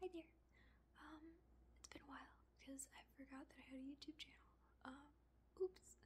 Hi there. Um, it's been a while because I forgot that I had a YouTube channel. Um, oops.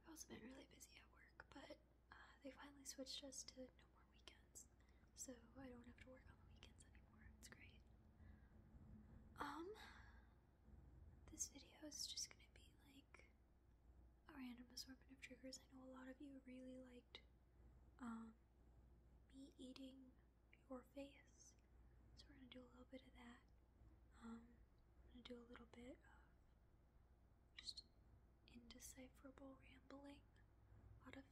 I've also been really busy at work, but uh, they finally switched us to no more weekends, so I don't have to work on the weekends anymore. It's great. Um, this video is just gonna be like a random assortment of triggers. I know a lot of you really liked um me eating your face. So we're gonna do a little bit of that. Um, I'm gonna do a little bit of just indecipherable rambling, a lot of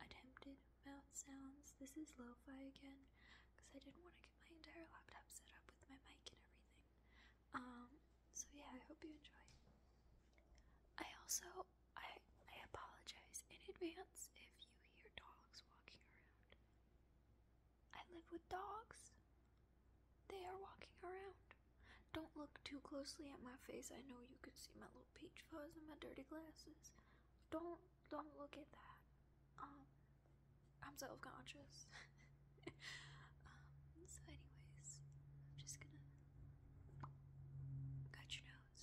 attempted mouth sounds. This is lo again, because I didn't want to get my entire laptop set up with my mic and everything. Um, so yeah, I hope you enjoy. I also I I apologize in advance if you hear dogs walking around. I live with dogs. They are walking around. Don't look too closely at my face. I know you can see my little peach fuzz and my dirty glasses. Don't don't look at that. Um I'm self-conscious. Um, so, anyways, I'm just gonna cut your nose.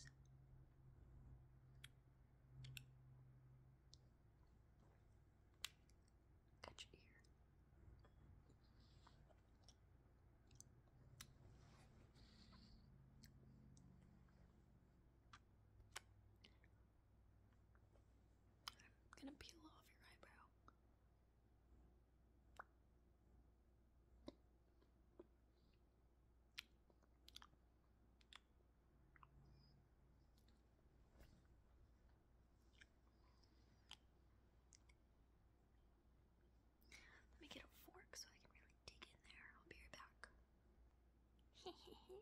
Cut your ear. I'm gonna peel off your eyebrow. Let me get a fork so I can really dig in there. I'll be right back. I have a fork.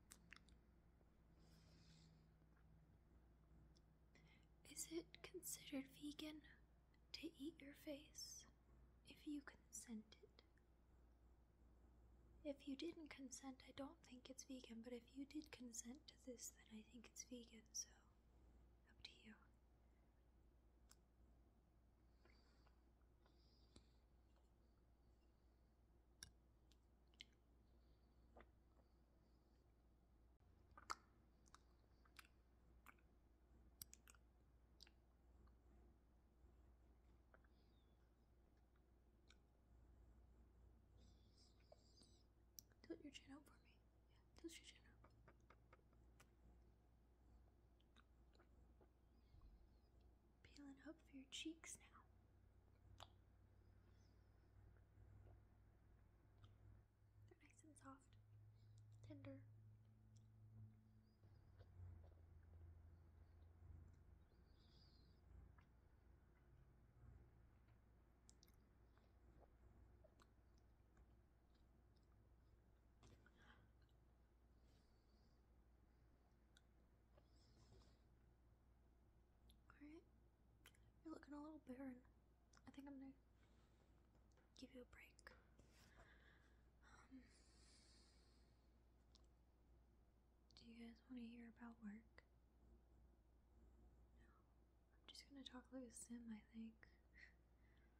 Is it considered vegan to eat your face if you consented? If you didn't consent, I don't think it's vegan, but if you did consent to this, then I think it's vegan, so up to you. Tilt your chin out for me. Yeah, tilt your chin out. Peeling up for your cheeks now. They're nice and soft, tender. Alright. You're looking a little barren. I think I'm gonna give you a break. Um, do you guys want to hear about work? No. I'm just gonna talk like a sim, I think.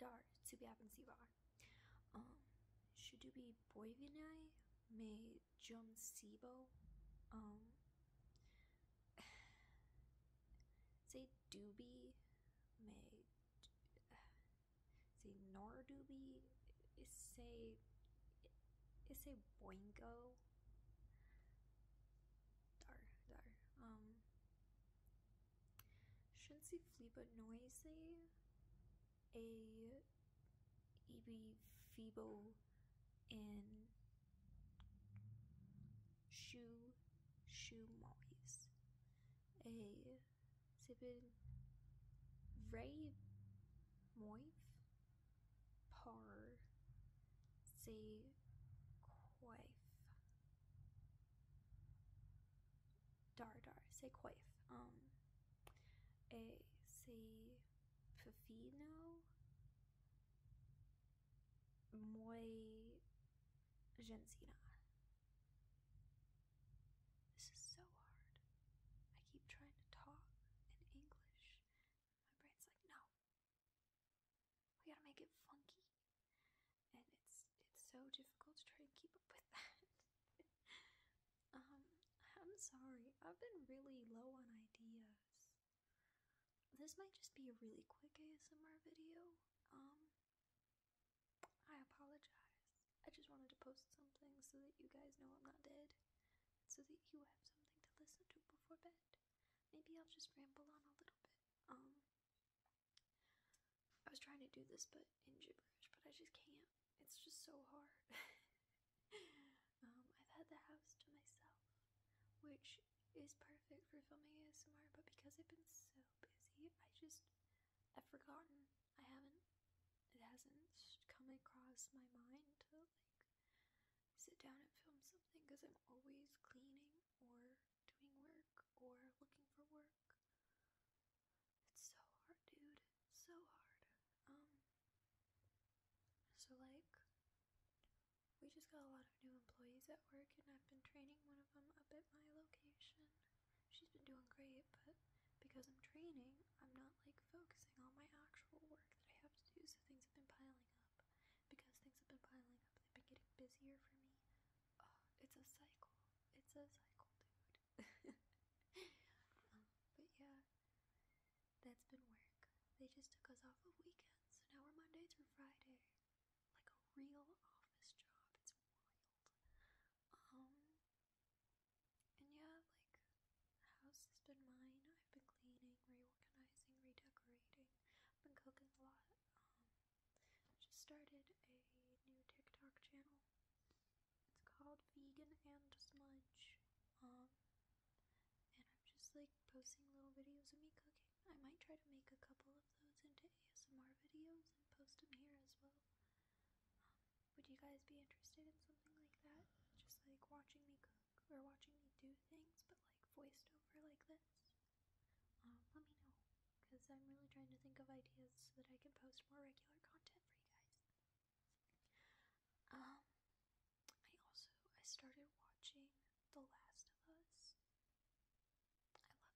dar subyapansivar. Um, Shudubi boivinai me jum Um, say doobie me say nor doobie say say boingo. Dar dar um Schon sie flippert noisy a eb feeble in shoe shoe moise a sibin ray moif par say coif. Dar dar, c'est coif. Um, et c'est Pufino. Gensina. This is so hard. I keep trying to talk in English. My brain's like, no, we gotta make it funky. And it's it's so difficult to try and keep up with that. um, I'm sorry, I've been really low on ideas. This might just be a really quick ASMR video. Um I apologize. I just wanted to post something so that you guys know I'm not dead. So that you have something to listen to before bed. Maybe I'll just ramble on a little bit. Um, I was trying to do this, but in gibberish, but I just can't. It's just so hard. um, I've had the house to myself, which is perfect for filming ASMR, but because I've been so busy, I just I've forgotten. I haven't. It hasn't come across my mind to like sit down and film something because I'm always cleaning or doing work or looking for work. It's so hard, dude. It's so hard. Um, so like, we just got a lot of new employees at work, and I've been training one of them up at my location. She's been doing great, but because I'm training, I'm not like focusing on my actual work that I have to do, so things have been piling up. Because things have been piling up, they've been getting busier for me. it's a cycle. It's a cycle, dude. Um, but yeah, that's been work. They just took us off of weekends, so now we're Monday through Friday. Like a real office job. It's wild. Um, and yeah, like the house has been mine. I've been cleaning, reorganizing, redecorating. I've been cooking a lot. Um, I just started a new TikTok channel. It's called Vegan and Smudge. Um, and I'm just like posting little videos of me cooking. I might try to make a couple of those into ASMR videos and post them here as well. Um, would you guys be interested in something like that? Just like watching me cook or watching me do things, but like voiced over like this? Um, let me know, because I'm really trying to think of ideas so that I can post more regular content for you guys. Um, I also I started watching The Last of Us. I love it,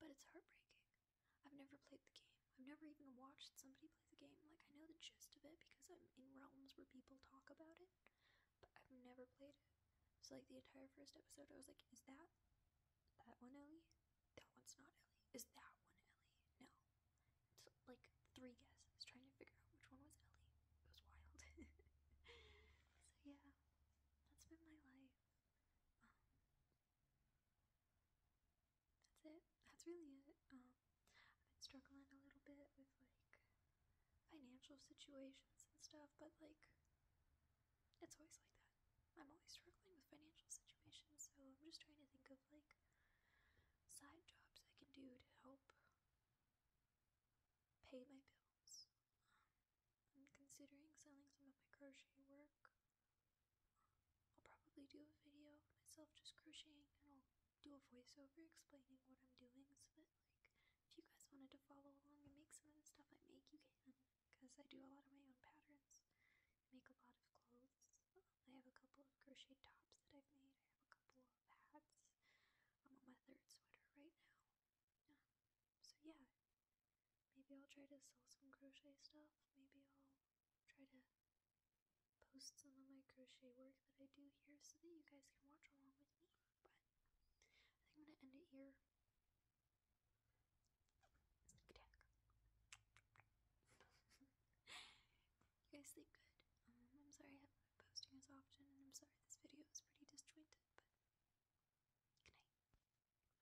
but it's heartbreaking. I've never played the game. I've never even watched somebody play the game. Like, I know the gist of it because I'm in realms where people talk about it, but I've never played it. So, like, the entire first episode, I was like, is that that one Ellie? That one's not Ellie. Is that one Ellie? No. It's like three guesses trying to figure out which one was Ellie. It was wild. so, yeah, that's been my life. Um, that's it. That's really it. Um, I've been struggling a little bit with like financial situations and stuff, but like it's always like that. I'm always struggling with financial situations, so I'm just trying to think of like side jobs I can do to help pay my bills. Um, I'm considering selling some of my crochet work I'll probably do a video of myself just crocheting and I'll do a voiceover explaining what I'm doing so that like if you guys wanted to follow along and make some of the stuff I make you can because I do a lot of my own patterns. make a lot of clothes. I have a couple of crochet tops that I've made. I have a couple of hats. I'm on my third sweater right now. So yeah. Maybe I'll try to sell some crochet stuff. Maybe I'll try to post some of my crochet work that I do here so that you guys can watch along with me. But I am gonna end it here. Attack. you guys sleep good. Um, I'm sorry I haven't been posting as often, and I'm sorry this video is pretty disjointed, but good